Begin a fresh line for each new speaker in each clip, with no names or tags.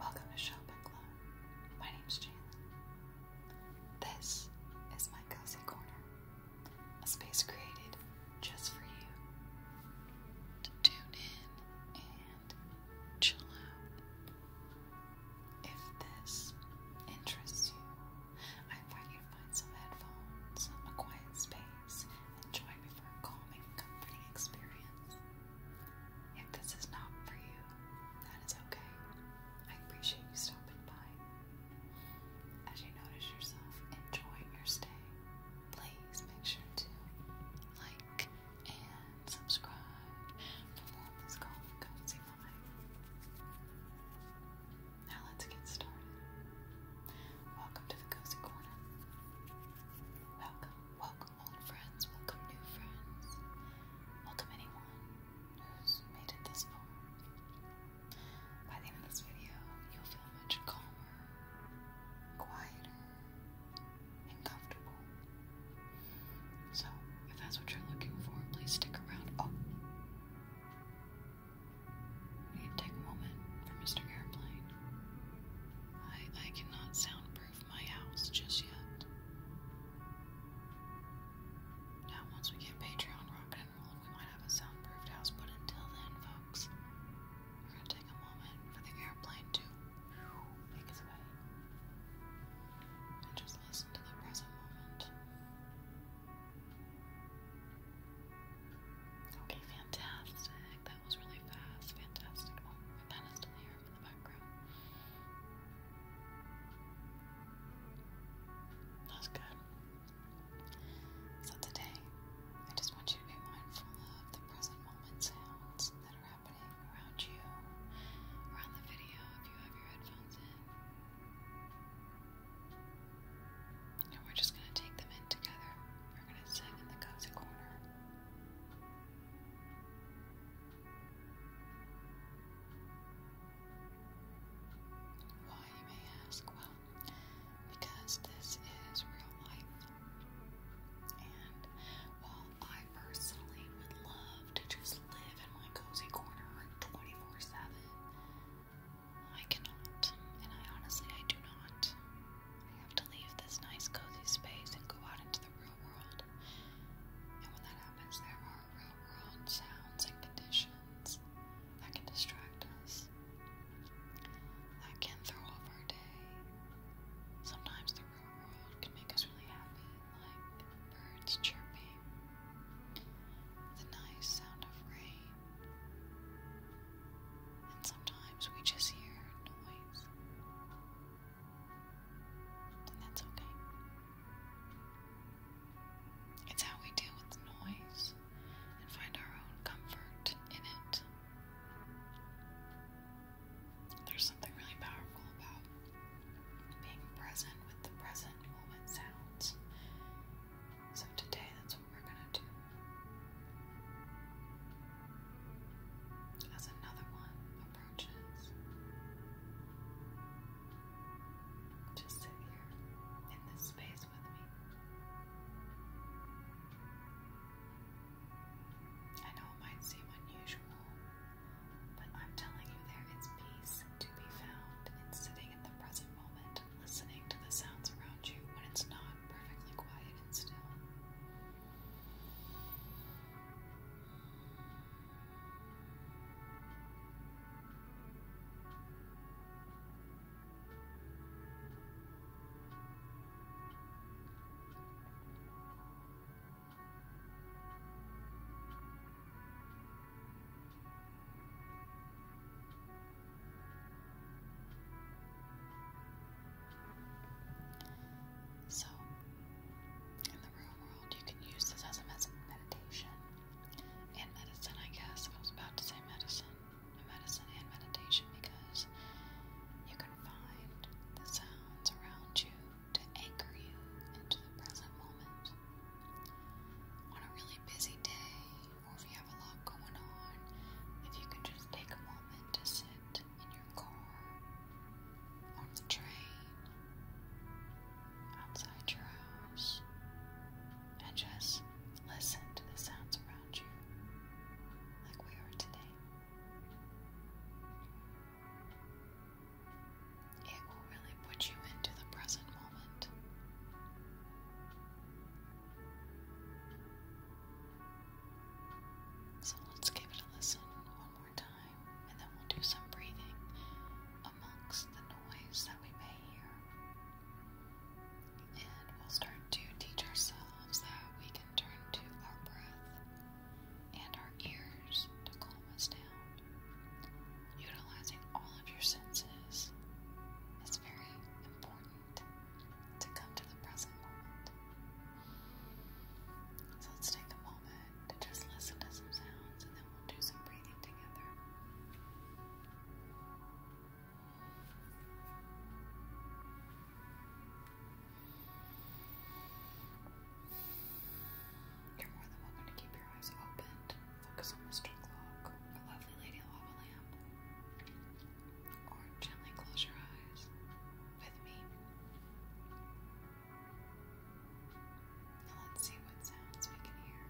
Welcome to and Club. My name is Jalen. This is my cozy corner, a space created just for you to tune in and chill out. If this interests you, I invite you to find some headphones, a quiet space, and join me for a calming, comforting experience. If this is not for you, that is okay. I appreciate you stopping by. As you notice yourself enjoying your stay, please make sure to like and subscribe for this calm cozy life. Now let's get started. Welcome to the Cozy Corner. Welcome, welcome old friends, welcome new friends, welcome anyone who's made it this far. By the end of this video, you'll feel much calmer, quieter, and comfortable. So, if that's what you're looking for, please stick around. Oh! We need to take a moment for Mr. Airplane. I, I cannot soundproof my house just yet. Now, once we get Patreon rockin' and rollin', we might have a soundproofed house, but until then, folks, we're gonna take a moment for the airplane to make its way. And just Okay, fantastic. That was really fast. Fantastic. Oh, that is still here in the background. That's good. So today, I just want you to be mindful of the present moment sounds that are happening around you, around the video if you have your headphones in. And we're just going to take them in together. We're going to sit in the cozy corner. Why, you may ask? Well, because this is real life. And while I I personally would love to just live in my cozy corner 24 7. I cannot, and I honestly, I do not. I have to leave this nice cozy space and go out into the real world. And when that happens, there are real world sounds and conditions that can distract us, that can throw off our day. Sometimes the real world can make us really happy, like birds chirping, the nice sound of rain, and sometimes we just hear noise. And that's okay. It's how we deal with noise and find our own comfort in it. There's something really powerful about being present with the present moment sounds. So today, that's what we're going to do. As another one approaches, just sit here in this space with me. I know it might seem unusual but I'm telling you, there is peace to be found in sitting in the present moment, listening to the sounds around you when it's not perfectly quiet and still. So, in the real world, you can use this as a meditation and medicine, I guess. I was about to say medicine, medicine and meditation because you can find the sounds around you to anchor you into the present moment. On a really busy day, or if you have a lot going on, if you can just take a moment to sit in your car, on the train, outside your house, and just listen to the sounds around you, like we are today. It will really put you into the present moment. So let's give it a listen one more time, and then we'll do some breathing amongst the noise that we may hear. And we'll start to teach ourselves that we can turn to our breath and our ears to calm calm down. Utilizing all of your senses is very important to come to the present moment. So let's take a moment to just listen to some sounds and then we'll do some breathing together. You're more than welcome to keep your eyes opened. Focus on Mr. Clock, the lovely lady lava lamp. Or gently close your eyes with me. let's see what sounds we can hear.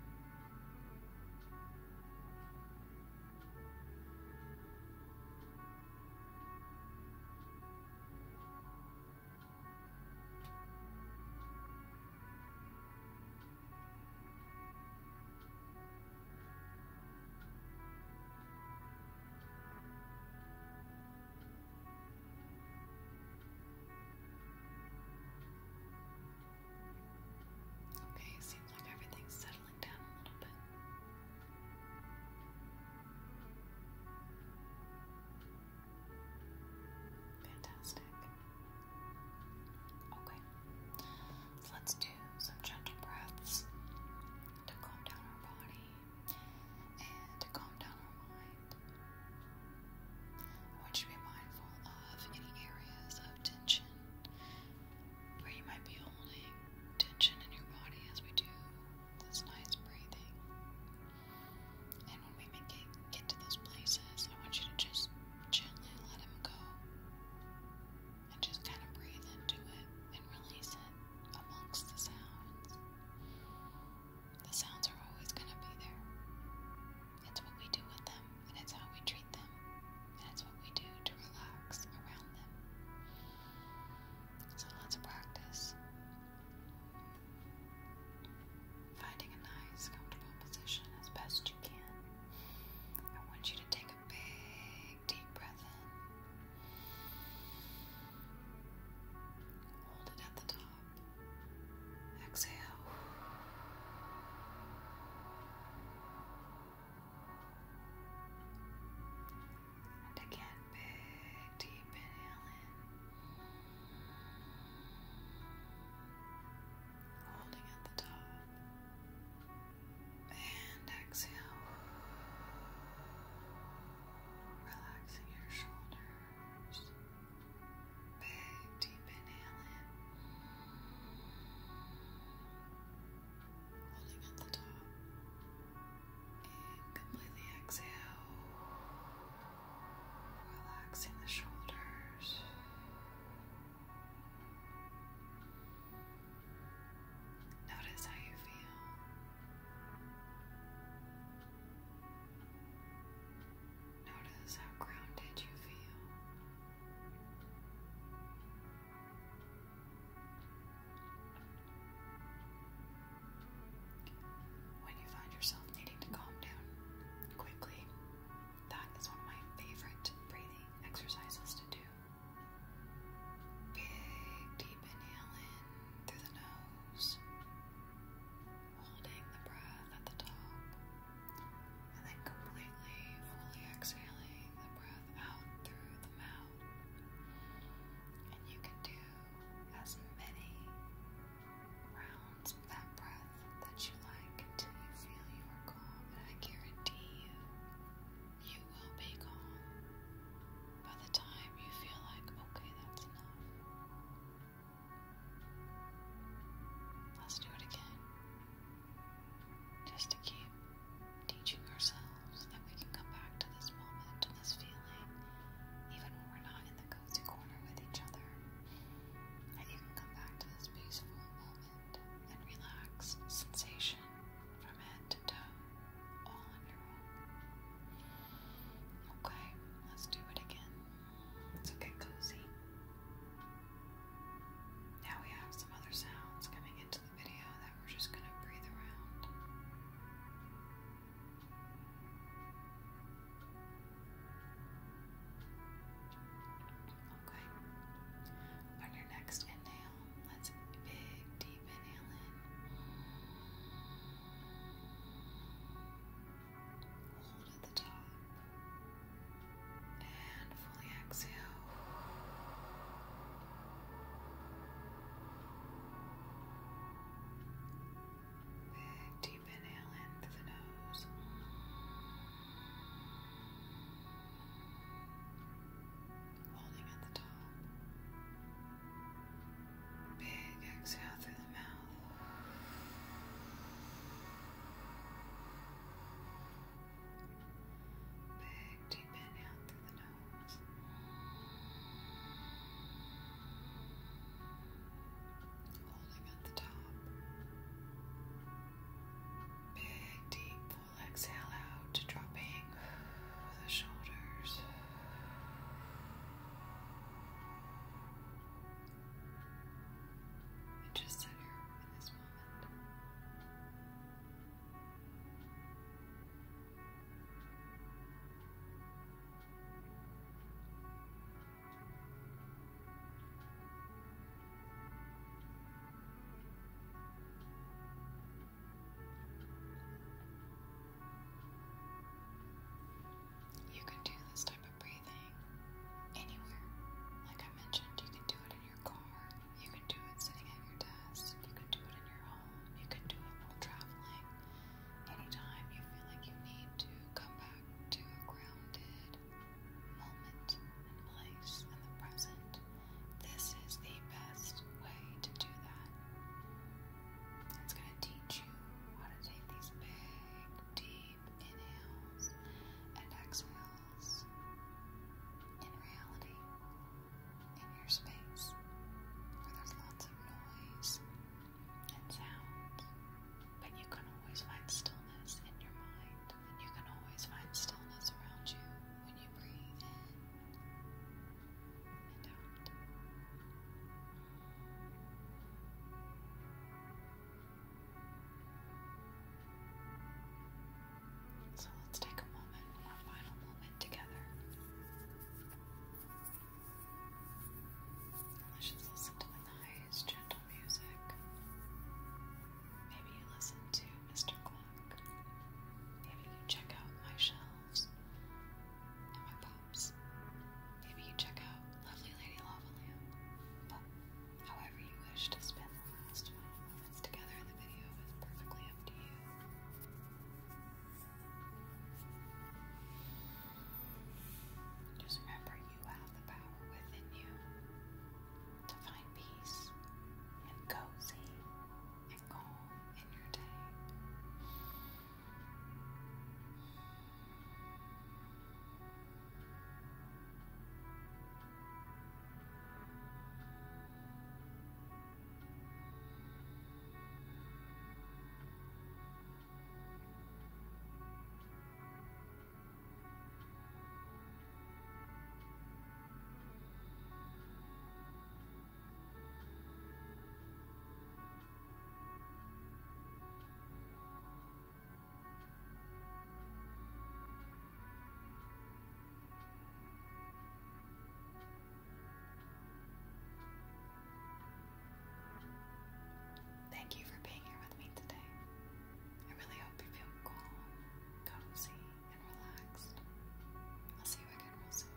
Okay, seems like everything's settling down a little bit. Fantastic. Okay, let's do some gentle breaths to calm down our body and to calm down our mind. want you to be mindful of any areas of tension where you might be holding tension in your body as we do this nice breathing. And when we make it get to those places, I want you to just gently let him go. And just kind of breathe into it and release it amongst the sounds. The sounds are always going to be there. It's what we do with them, and it's how we treat them, and it's what we do to relax around them. So let's practice finding a nice, comfortable position as best you can. I want you to take a big, deep breath in. Hold it at the top. Exhale. And again, big, deep inhale in holding at the top, and exhale, relaxing your shoulders. Big deep inhale holding at the top, and completely exhale. Relaxing the shoulders. Notice how you feel. Notice how grounded you feel. When you find yourself needing to calm down quickly, that is one of my favorite breathing exercises to do. Big deep inhale in through the nose, holding the breath at the top, and then completely, fully exhaling the breath out through the mouth. And you can do as many rounds that breath that you like until you feel you are calm, I guarantee you, you will be calm by the time you feel like, okay, that's enough. Let's do it again. Just to keep teaching ourselves that we can come back to this moment, to this feeling, even when we're not in the cozy corner with each other, and you can come back to this peaceful moment and relaxed sensation from head to toe, all on your own. Okay, let's do it again. So get cozy. Now we have some other sounds coming into the video that we're just going to breathe around. On your next inhale, let's big, deep inhale in. Hold at the top. And fully exhale. Big Deep inhale in through the nose. Holding at the top. Big exhale through the mouth. Big deep inhale through the nose. Holding Big, deep full exhale out, dropping the shoulders. just sit here in this moment. You can do this type of breathing anywhere. Like I mentioned, you can do it in your car, you can do it sitting at your desk, you can do it in your home, you can do it while traveling. Anytime you feel like you need to come back to grounded, moment and place in the present, this is the best way to do that. It's going to teach you how to take these big, deep inhales and exhales in reality, in your space, where there's lots of noise and sound. But you can always find stillness in your mind, and you can always find stillness around you when you breathe in and out. So let's take a moment, our final moment together. let's just listen to nice, gentle music. Maybe you listen to Mr. Gluck. Maybe you check out my shelves and my pops. Maybe you check out Lovely Lady Lava But however you wish to spend the last moments together in the video is perfectly up to you. Just remember, you have the power within you to find peace and cozy and calm in your day. Thank you for being here with me today. I really hope you feel calm, cozy, and relaxed. I'll see you again real soon.